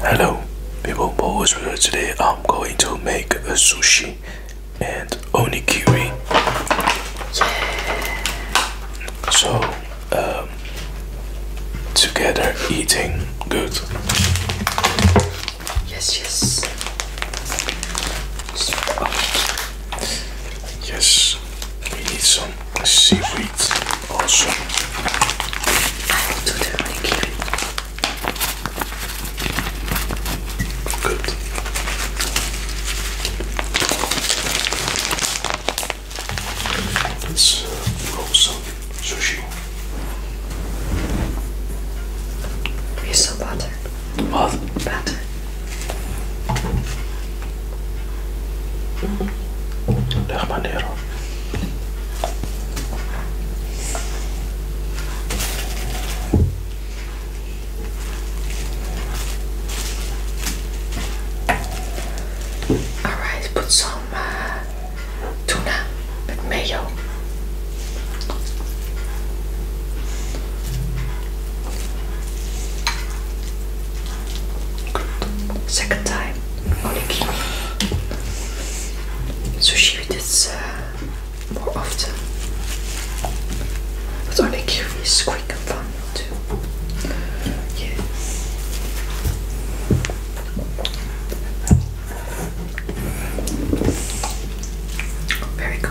Hello people, Boys here. Today I'm going to make a sushi and onigiri. So, um, together eating good. Yes, yes. Yes, we need some seaweed also I the manicure. Good. Let's uh, roll some sushi. Piece of butter. What? Butter. Mm-hmm. Leg maar neer hoor. Alright, put some uh, tuna with mayo. Second time. I you. So she did this uh, more often. But onigiri is quick and fun too. Very good.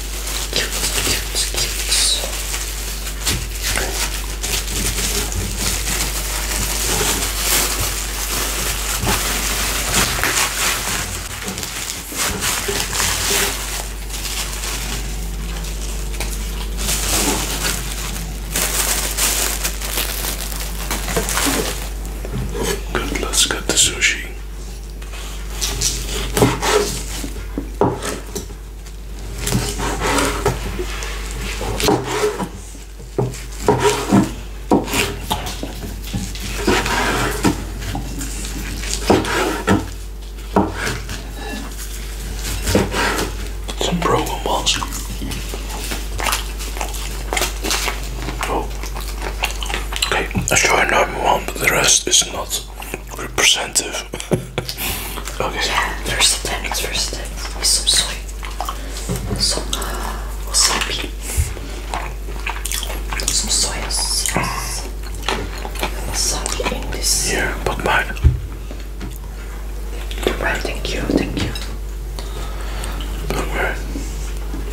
Cute, cute, cute. Good, let's get the sushi. Some program balls. Oh. Okay, let's try another one but the rest is not representative. okay. Yeah, there's the tennis, First, the tennis. Some soy. Some wasabi. Uh, some soy sauce. Wasabi in this. Yeah, but mine. thank you, thank you. Okay.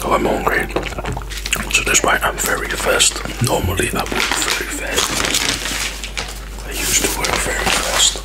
Oh, I'm hungry. So that's why I'm very fast. Normally I work very fast. I used to work very fast.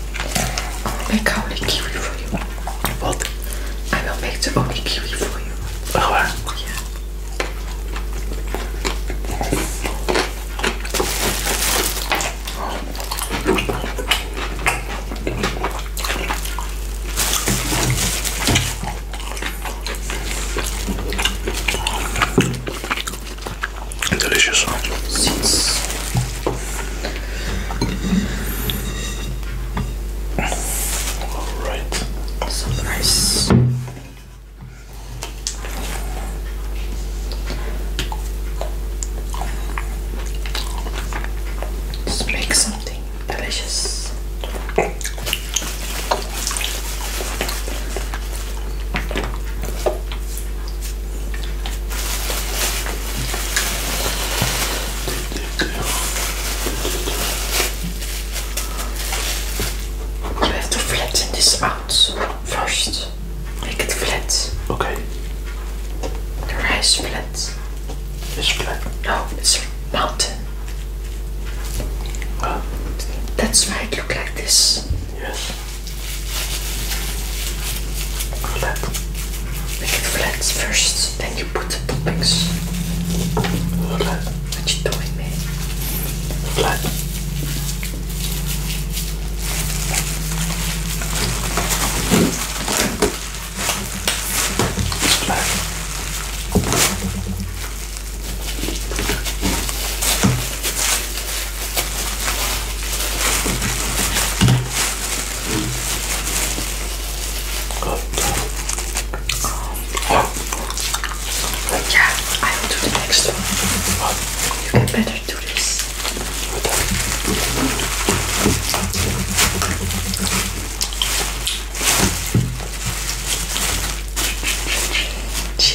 Make only kiwi for you. What? I will make the only kiwi for you. Oh, waar? Delicious. All right. So nice. make something delicious. You have to flatten this out first. Make it flat. Okay. The rice flat. It's flat. No, it's a mountain. Huh? Ah. That's why it look like this. Yes. Look, make it flat first, then you put the toppings. Look, what you doing, man? Look. Look. Good. Yeah, I will do the next one. You can better do this.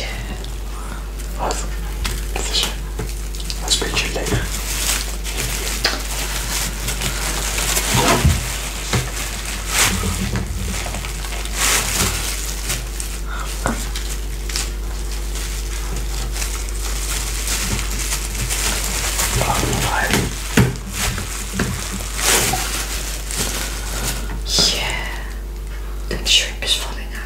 Yeah of position. I'll speak to you Yeah, that shrimp is falling out.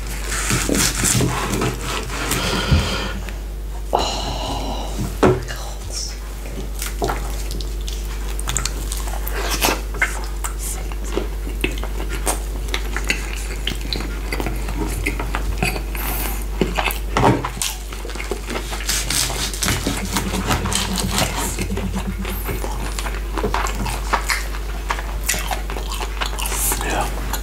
Oh my God. Yeah.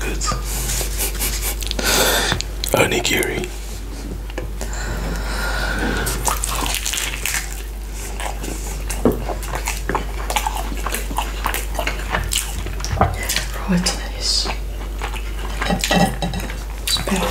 Good. Onigiri. Right, nice. Good.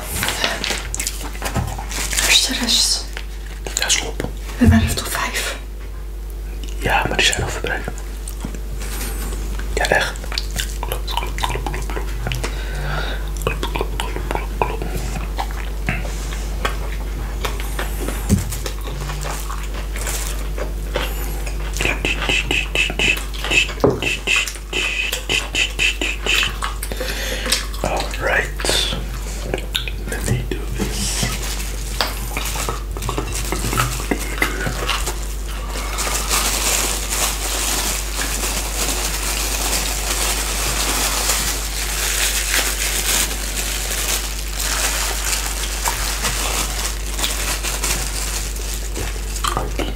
Waar is de We hebben er toch vijf? Ja, maar die zijn nog verbruikt. Ja, echt. Klopt, klopt, klopt, klopt, klopt. All right, let me do this.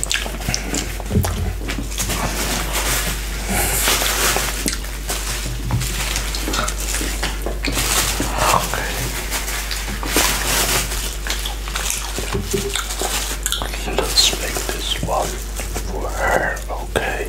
Okay. Let's make this one for her, okay?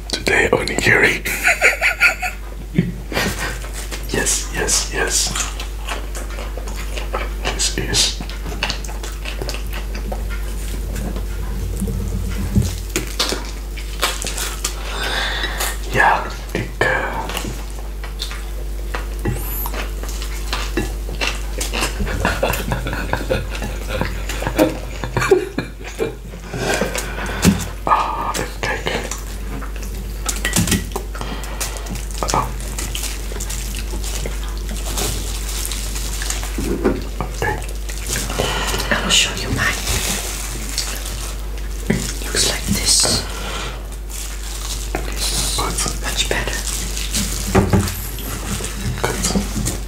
today onigiri. yes, yes, yes. Yes, yes. ja, ik uh... Ah, I will show you mine. Looks like this. This is much better.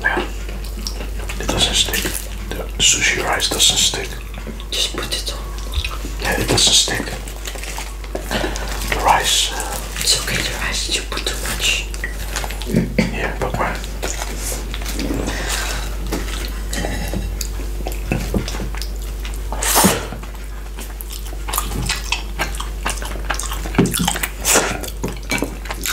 Yeah. It doesn't stick. The sushi rice doesn't stick. Just put it on. Yeah, it doesn't stick. The rice. It's okay, the rice, you put too much. yeah, but why?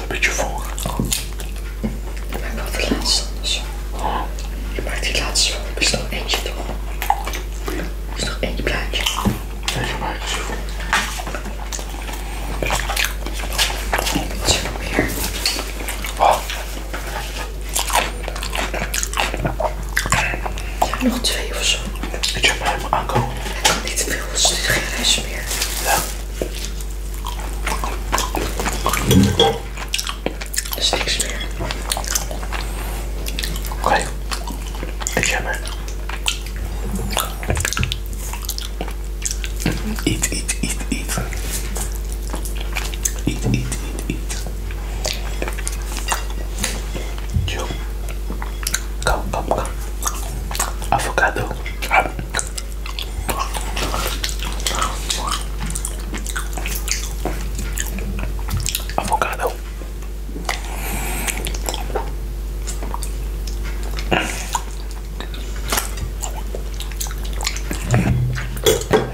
Een beetje voor. Ik maak wel de laatste dus. Je maakt die laatste Er is nog eentje toch? Er is nog eentje plaatje. Deze maak je voor. Wat nog twee of zo. Ik heb maar helemaal aankomen. Ik kan niet veel, dus dit geen rijst meer. Ja. Er is niks meer. Oké. Okay. Ik heb er. Eet, eet, eet, eet. Eat, eat, eat, eat. Chill. Calma, calma, Avocado. Avocado.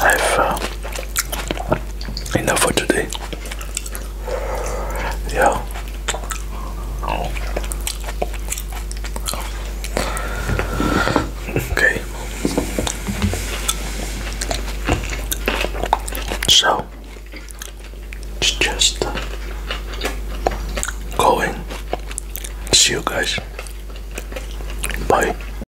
I've uh, enough for today. Yeah. Okay. So it's just uh, going. See you guys. Bye.